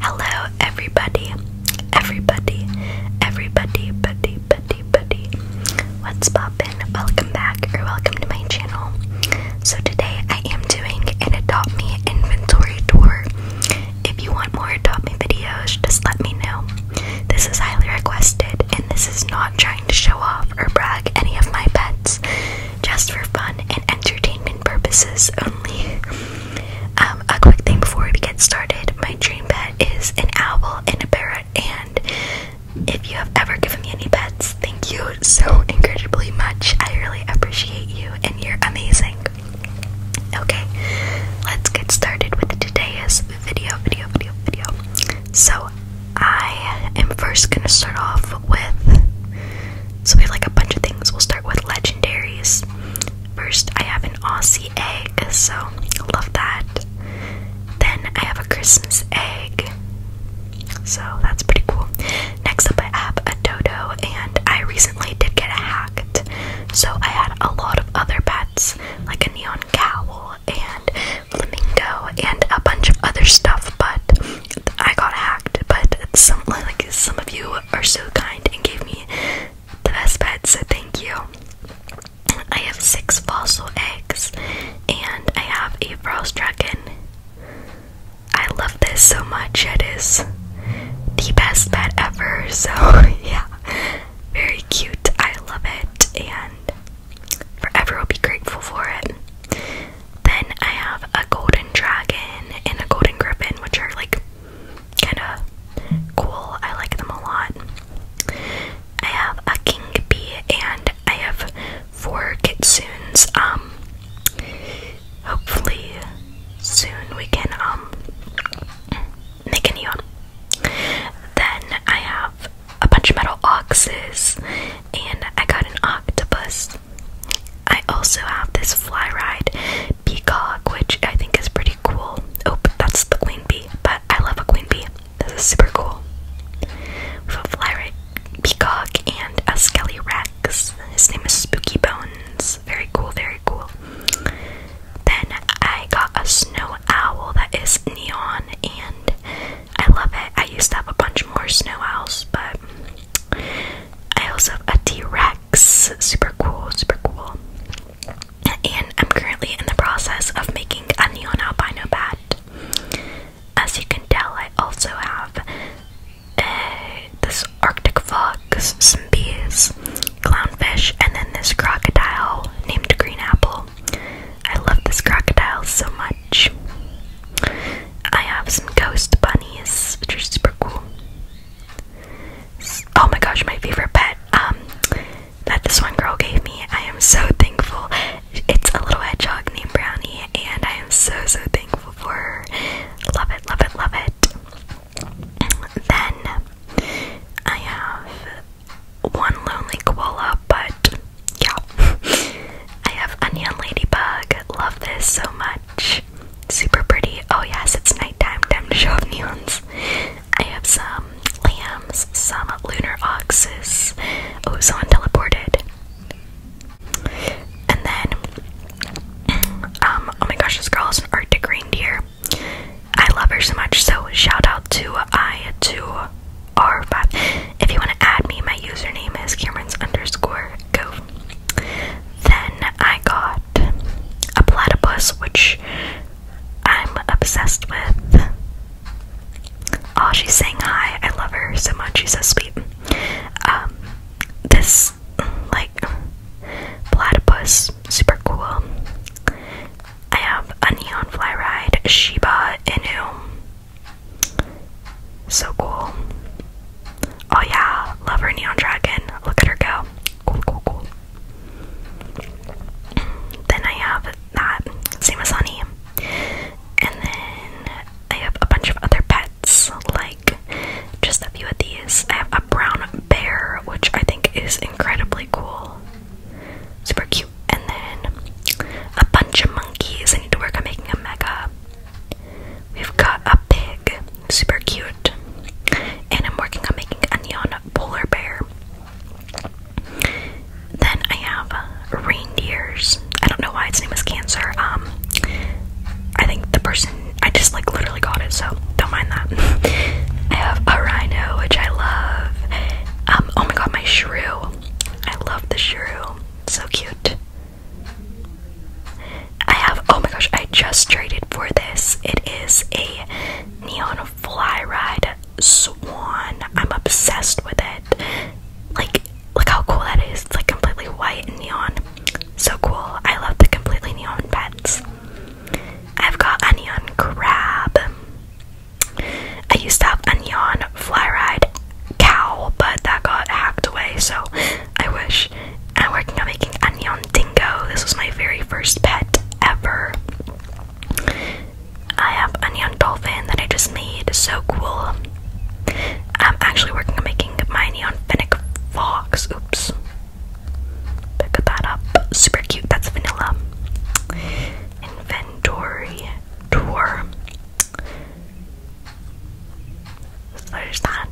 Hello, everybody, everybody, everybody, buddy, buddy, buddy. What's poppin'? Welcome back or welcome to my channel. So, today I am doing an Adopt Me inventory tour. If you want more Adopt Me videos, just let me know. This is highly requested, and this is not trying to show off or brag any of my pets, just for fun and entertainment purposes only. Um, a quick thing before we get started my dream pet is an owl and a parrot, and if you have ever given me any pets, thank you so incredibly much. I really appreciate you, and you're amazing. Okay, let's get started with today's video, video, video, video. So, I am first gonna start off with. So, we have like a bunch of things. We'll start with legendaries. First, I have an Aussie egg, so love that. Then, I have a Christmas egg, so that's pretty cool. Next up, I have a dodo, and I recently did get hacked, so I had a lot of other pets, like a neon cowl and flamingo and a bunch of other stuff, but I got hacked. But some like some of you are so kind and gave me the best bed. so thank you. I have six fossil eggs and I have a frost dragon. I love this so much, it is the best bed ever, so yeah, very cute. I love it and forever i will be grateful for it. Then I have a golden dragon and a golden griffin, which are like kind of cool. I like them a lot. I have a king bee and I have four kitsunes. Um, hopefully soon we can um make a new one. Then I have a bunch of metal oxes and I got an octopus I also have this fly ride peacock, which I think is pretty cool. Oh, that's the queen bee, but I love a queen bee. This is super cool. With a fly ride peacock and a skelly rex. His name is Spooky Bones. Very cool, very cool. Then I got a snow owl that is neon, and I love it. I used to have a bunch more snow owls, but I also have a T Rex. Super cool, super cool. And I'm currently in the process of making a neon albino bat. As you can tell, I also have uh, this Arctic fox, some bees, clownfish, and then this crocodile named Green Apple. I love this crocodile so much. I have some ghost bunnies, which are super cool. Oh my gosh, my favorite pet um, that this one girl gave me. I am so thankful. It's a little hedgehog named Brownie, and I am so, so thankful for Love it, love it, love it. Then I have one lonely koala, but yeah. I have Onion Ladybug. Love this so much. Super pretty. Oh, yes, it's nighttime. Time to show up neons. I have some lambs, some lunar oxes. Oh, someone teleported. And then, um, oh my gosh, this girl is an Arctic reindeer. I love her so much. So, shout out to i to r 5 If you want to add me, my username is Cameron's underscore go then I got a platypus, which I'm obsessed with. Oh, she's saying hi. I love her so much. She's so sweet. Um, this, like, platypus, super cool. I have a neon fly ride, Shiba Inu. So cool. Oh yeah, love her neon dragon. Look at her go. Cool, cool, cool. Then I have that, same as Honey. And then I have a bunch of other pets, like just a few of these. I have a brown bear, which I think is incredibly cool. Super cute. And then a bunch of monkeys. I need to work on making a mega. We've got a pig, super cute, and I'm working on making a neon polar bear. Then I have reindeers. I don't know why its name is Cancer. Um, I think the person I just like literally got it, so don't mind that. I have a rhino, which I love. Um, oh my god, my shrew. I love the shrew. So cute. I have, oh my gosh, I just traded for this. It is a neon fly ride swan. I'm obsessed with it. Like, look how cool that is. It's like completely white and neon. So cool. I love the completely neon pets. I've got a neon crab. I used to have a neon fly ride cow, but that got hacked away, so I wish. I'm working on making a dingo. This was my very first pet ever. I have a dolphin that I just made. So cool. I'm actually working on making my neon fennec fox. Oops. Pick that up. Super cute. That's vanilla. Inventory tour there's that.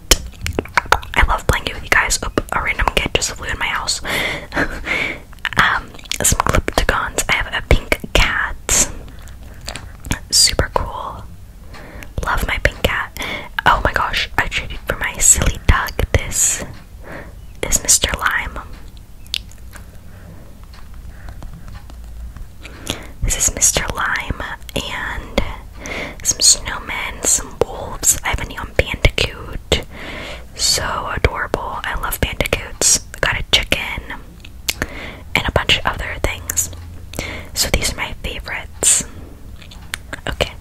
I love playing it with you guys. Oop, oh, a random kid just flew in my house. Um, some Glypticons. I have a pink cat. Super cool. Love my pink cat. Oh my gosh, I traded for my silly dog. This is Mr. Lime. This is Mr. Lime, and some snowmen, some wolves. I have a neon bandicoot. So adorable. I love bandicoots. I got a chicken and a bunch of other things. So these are my favorites. Okay,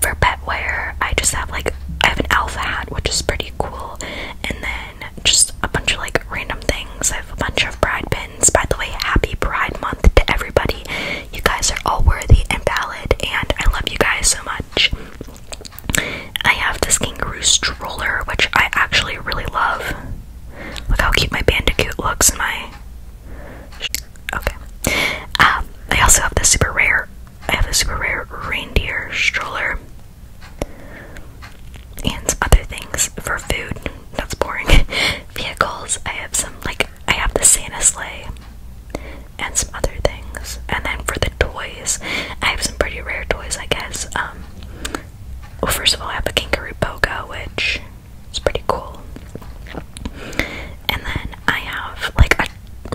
for pet petware, I just have like I have an alpha hat, which is pretty cool, and then just a bunch of like random things. I have a bunch of pride pins. By the way, happy Pride Month to everybody. You guys are all worthy and valid, and I love you guys so much. I have this kangaroo stroller, which I actually really love. Look how cute my bandicoot looks in my. Okay. Um, I also have the super rare. I have a super rare reindeer stroller and some other things for food. That's boring. vehicles. I have some, like, I have the Santa sleigh and some other things. And then for the toys, I have some pretty rare toys, I guess. Um, well, first of all, I have a Kangaroo Boga, which is pretty cool. And then I have, like, a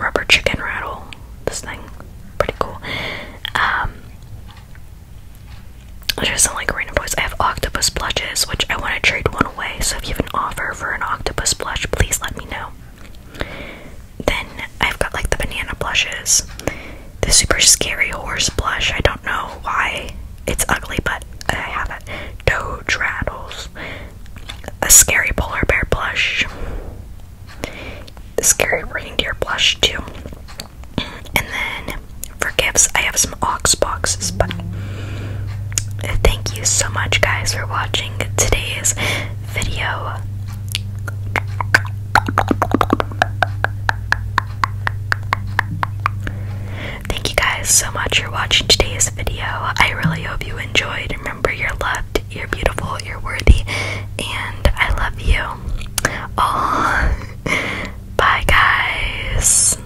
rubber chicken rattle. This thing, pretty cool. Um, there's some like random toys. I have octopus plushes, which I want to trade one so if you have an offer for an octopus blush, please let me know. Then I've got like the banana blushes, the super scary horse blush. I don't know why it's ugly, but I have it. Doge rattles, a scary polar bear blush, the scary reindeer blush too. And then for gifts, I have some ox boxes, but thank you so much, guys, for watching today's video. Thank you guys so much for watching today's video. I really hope you enjoyed. Remember, you're loved, you're beautiful, you're worthy, and I love you. bye, guys.